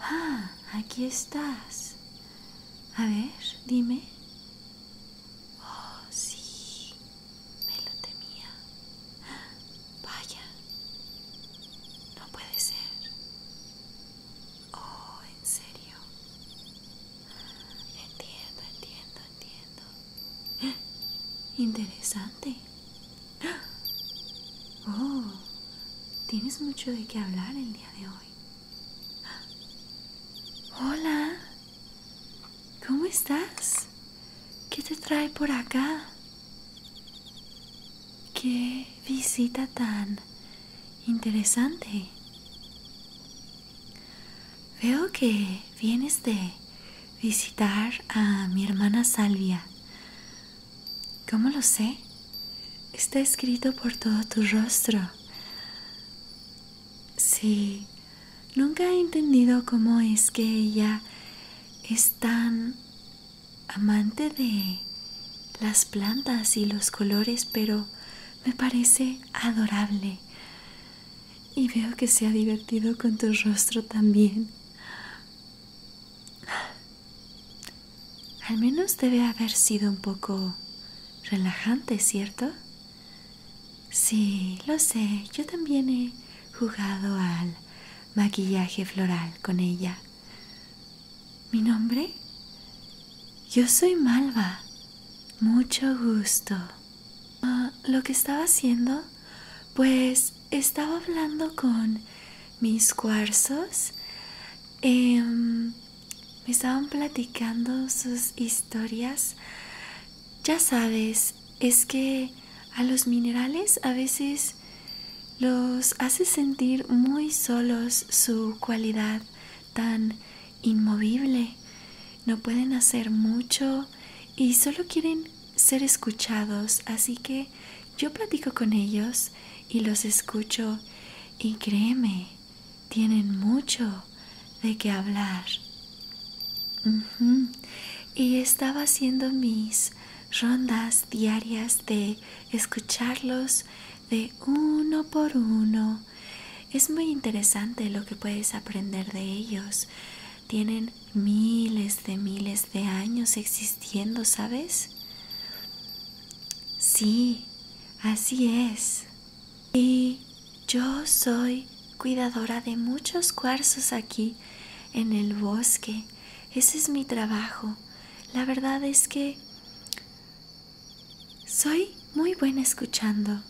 Ah, aquí estás. A ver, dime. Oh, sí. Me lo temía. Vaya. No puede ser. Oh, en serio. Entiendo, entiendo, entiendo. Interesante. Oh, tienes mucho de qué hablar el día de hoy. Hola, ¿cómo estás? ¿Qué te trae por acá? Qué visita tan interesante. Veo que vienes de visitar a mi hermana Salvia. ¿Cómo lo sé? Está escrito por todo tu rostro. Sí, nunca he entendido cómo es que ella es tan amante de las plantas y los colores, pero me parece adorable y veo que se ha divertido con tu rostro también. Al menos debe haber sido un poco relajante, ¿cierto? Sí, lo sé, yo también he jugado al maquillaje floral con ella. ¿Mi nombre? Yo soy Malva. Mucho gusto. Ah, lo que estaba haciendo, pues estaba hablando con mis cuarzos. Em, me estaban platicando sus historias. Ya sabes, es que a los minerales a veces los hace sentir muy solos su cualidad tan inmovible. No pueden hacer mucho y solo quieren ser escuchados, así que yo platico con ellos y los escucho y créeme, tienen mucho de qué hablar. Y estaba haciendo mis rondas diarias de escucharlos de uno por uno. Es muy interesante lo que puedes aprender de ellos tienen miles de miles de años existiendo, ¿sabes? Sí, así es. Y yo soy cuidadora de muchos cuarzos aquí en el bosque. Ese es mi trabajo. La verdad es que soy muy buena escuchando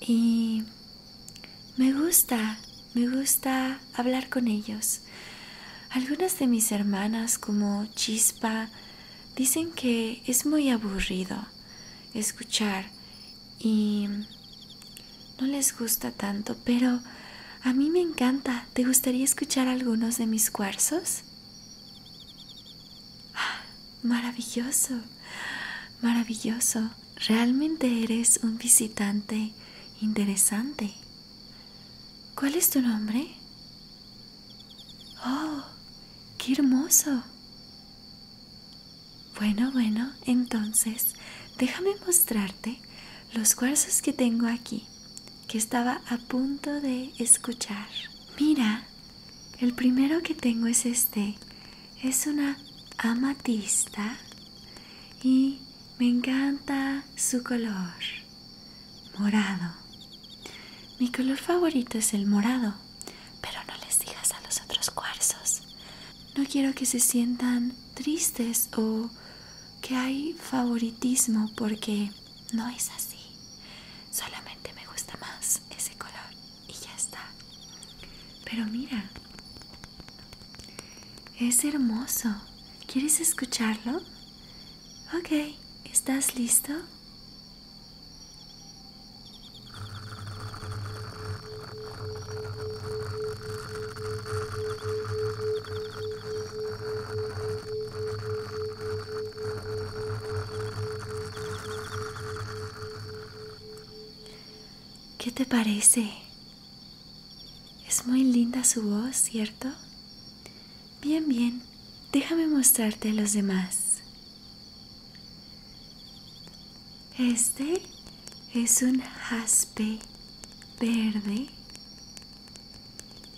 y me gusta, me gusta hablar con ellos. Algunas de mis hermanas, como Chispa, dicen que es muy aburrido escuchar y no les gusta tanto, pero a mí me encanta. ¿Te gustaría escuchar algunos de mis cuarzos? Ah, maravilloso, maravilloso. Realmente eres un visitante interesante. ¿Cuál es tu nombre? ¡Oh! ¡Qué hermoso! Bueno, bueno, entonces déjame mostrarte los cuarzos que tengo aquí, que estaba a punto de escuchar. Mira, el primero que tengo es este, es una amatista y me encanta su color morado. Mi color favorito es el morado, pero no les digas a los otros cuarzos. No quiero que se sientan tristes o que hay favoritismo porque no es así. Solamente me gusta más ese color y ya está. Pero mira, es hermoso. ¿Quieres escucharlo? Ok, ¿estás listo? ¿Qué te parece? Es muy linda su voz, ¿cierto? Bien, bien, déjame mostrarte a los demás. Este es un jaspe verde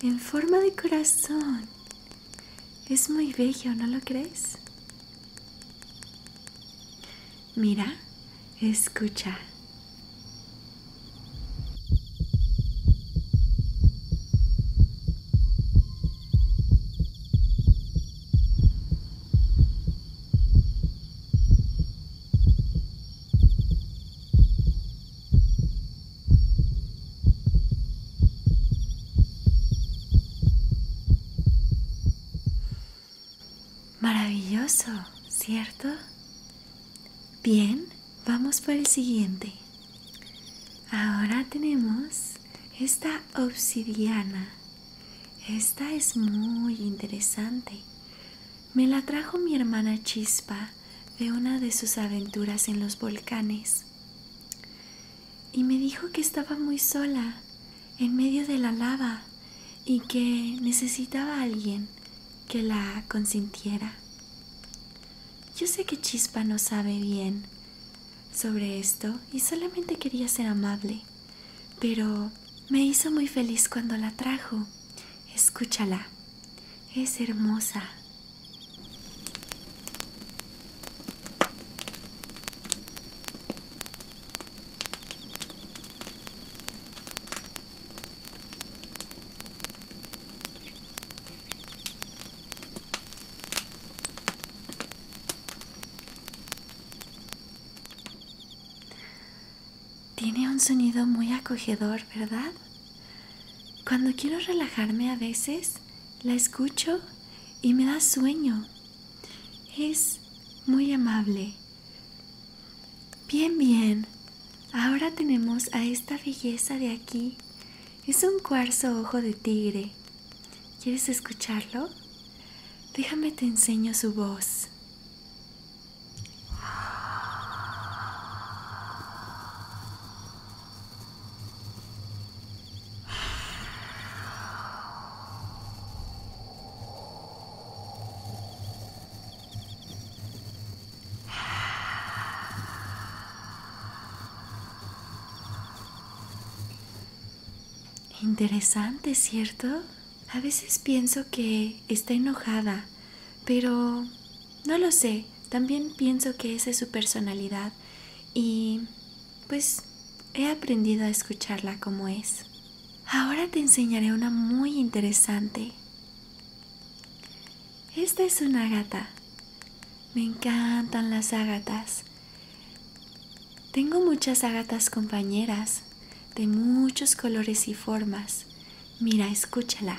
en forma de corazón. Es muy bello, ¿no lo crees? Mira, escucha. Maravilloso, ¿cierto? Bien, vamos por el siguiente. Ahora tenemos esta obsidiana. Esta es muy interesante. Me la trajo mi hermana Chispa de una de sus aventuras en los volcanes. Y me dijo que estaba muy sola en medio de la lava y que necesitaba a alguien que la consintiera. Yo sé que Chispa no sabe bien sobre esto y solamente quería ser amable, pero me hizo muy feliz cuando la trajo. Escúchala, es hermosa. Tiene un sonido muy acogedor, ¿verdad? Cuando quiero relajarme a veces, la escucho y me da sueño. Es muy amable. Bien, bien. Ahora tenemos a esta belleza de aquí. Es un cuarzo ojo de tigre. ¿Quieres escucharlo? Déjame te enseño su voz. Interesante, ¿cierto? A veces pienso que está enojada, pero no lo sé. También pienso que esa es su personalidad y pues he aprendido a escucharla como es. Ahora te enseñaré una muy interesante. Esta es una gata. Me encantan las agatas. Tengo muchas agatas compañeras de muchos colores y formas. Mira, escúchala.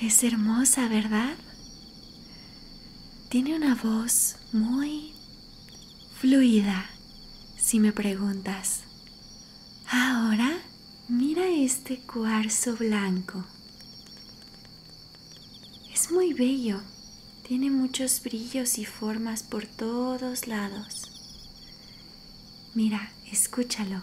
Es hermosa, ¿verdad? Tiene una voz muy fluida, si me preguntas. Ahora mira este cuarzo blanco. Es muy bello. Tiene muchos brillos y formas por todos lados. Mira, escúchalo.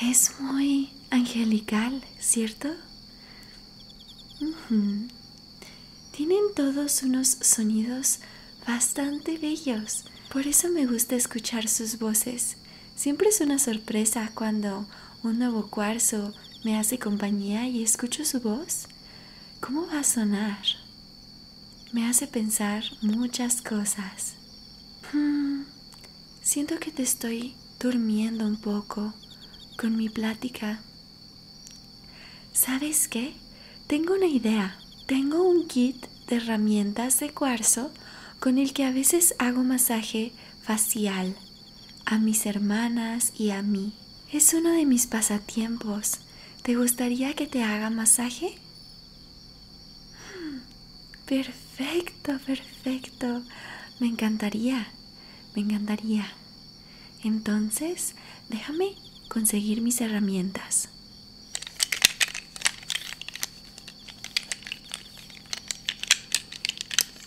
Es muy angelical, ¿cierto? Tienen todos unos sonidos bastante bellos. Por eso me gusta escuchar sus voces. Siempre es una sorpresa cuando un nuevo cuarzo me hace compañía y escucho su voz. ¿Cómo va a sonar? Me hace pensar muchas cosas. Hmm. Siento que te estoy durmiendo un poco con mi plática. ¿Sabes qué? Tengo una idea. Tengo un kit de herramientas de cuarzo con el que a veces hago masaje facial a mis hermanas y a mí. Es uno de mis pasatiempos. ¿Te gustaría que te haga masaje? Mm, perfecto, perfecto. Me encantaría. Me encantaría. Entonces, déjame conseguir mis herramientas.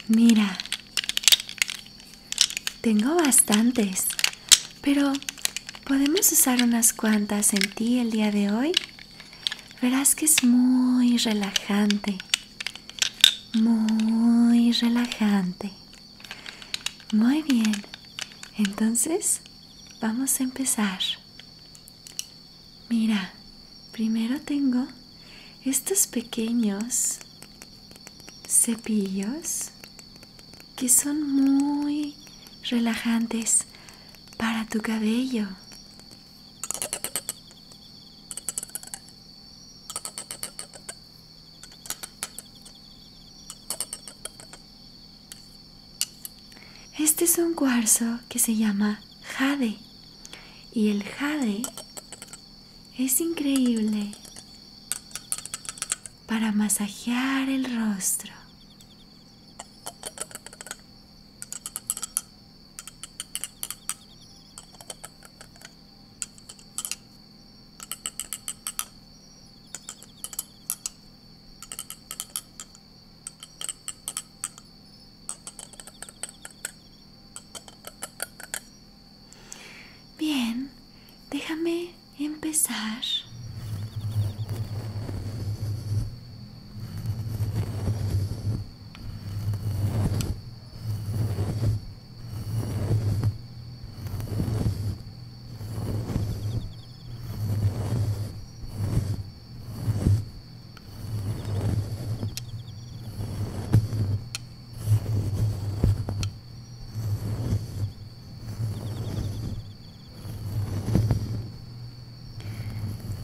Mira, tengo bastantes, pero ¿podemos usar unas cuantas en ti el día de hoy? Verás que es muy relajante muy relajante. Muy bien, entonces vamos a empezar. Mira, primero tengo estos pequeños cepillos que son muy relajantes para tu cabello. Este es un cuarzo que se llama jade y el jade es increíble para masajear el rostro. Bien, déjame empezar.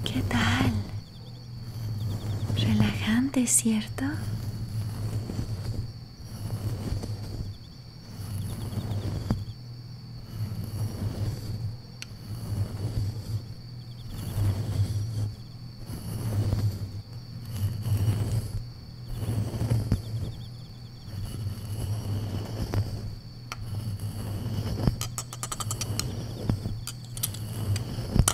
¿Qué tal? Relajante, ¿cierto?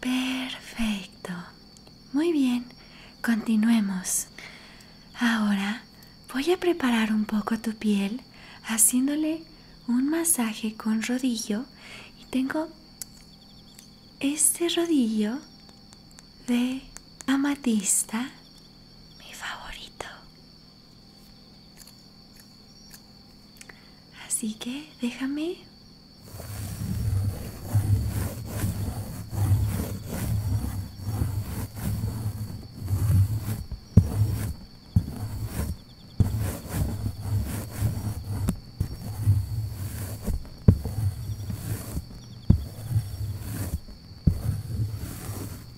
Perfecto. Muy bien, continuemos. Ahora voy a preparar un poco tu piel haciéndole un masaje con rodillo y tengo este rodillo de amatista, mi favorito. Así que déjame.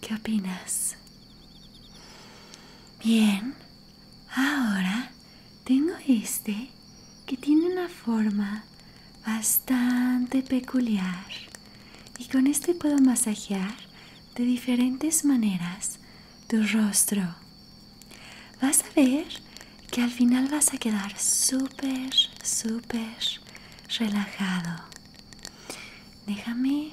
¿Qué opinas? Bien, ahora tengo este que tiene una forma bastante peculiar y con este puedo masajear de diferentes maneras tu rostro. Vas a ver que al final vas a quedar súper, súper relajado. Déjame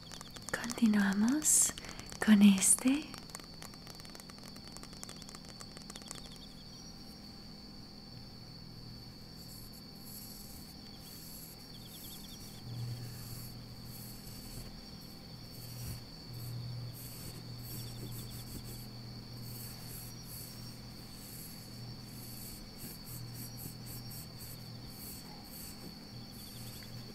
Continuamos con este.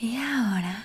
Y ahora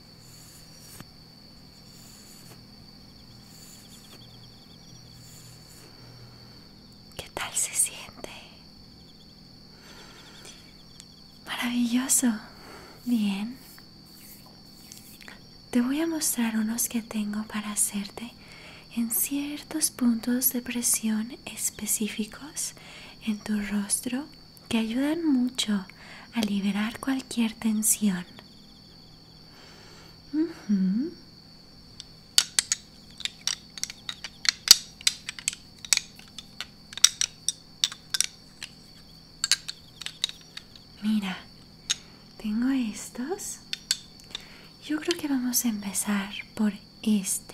¿Qué tal se siente? Maravilloso. Bien. Te voy a mostrar unos que tengo para hacerte en ciertos puntos de presión específicos en tu rostro que ayudan mucho a liberar cualquier tensión. Mira, tengo estos. Yo creo que vamos a empezar por este.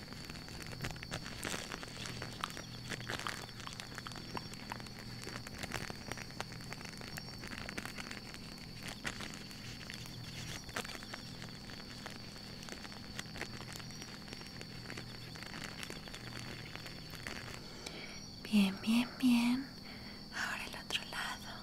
Bien, bien, bien. Ahora el otro lado.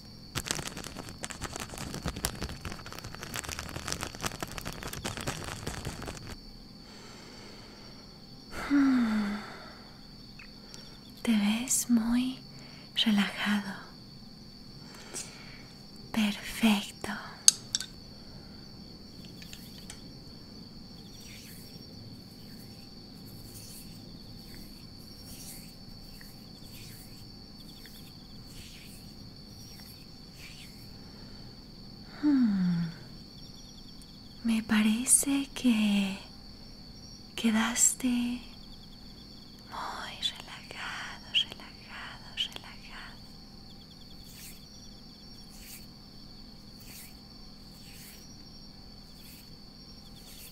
Te ves muy relajado. Perfecto. Me parece que quedaste muy relajado, relajado, relajado.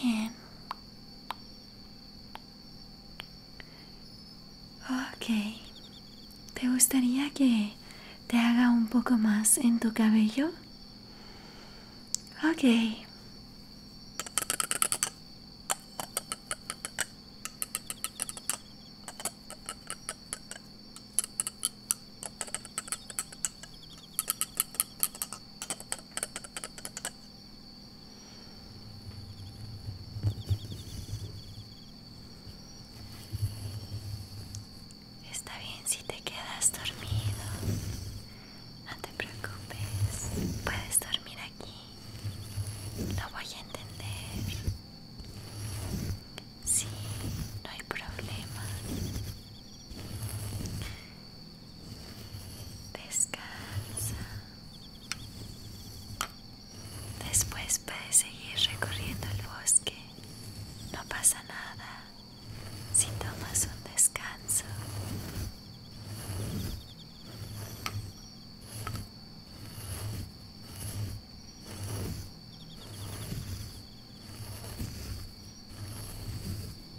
Bien. Ok. ¿Te gustaría que te haga un poco más en tu cabello? Ok. Está bien si te quedas dormido. No te preocupes. Puedes dormir aquí. Lo voy a entender. Sí, no hay problema. Descansa. Después puedes seguir recorriendo el bosque. No pasa nada si tomas un descanso.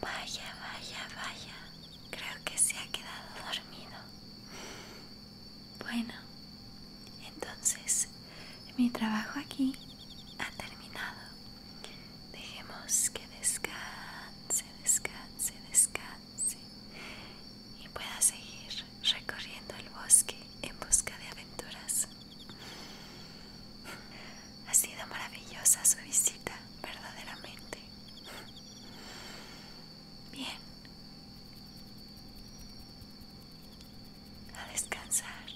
Vaya, vaya, vaya. Creo que se ha quedado dormido. Bueno, entonces mi trabajo aquí ha terminado. Dejemos que descanse, descanse, descanse y pueda seguir recorriendo el bosque en busca de aventuras. Ha sido maravillosa su visita, verdaderamente. Bien. A descansar.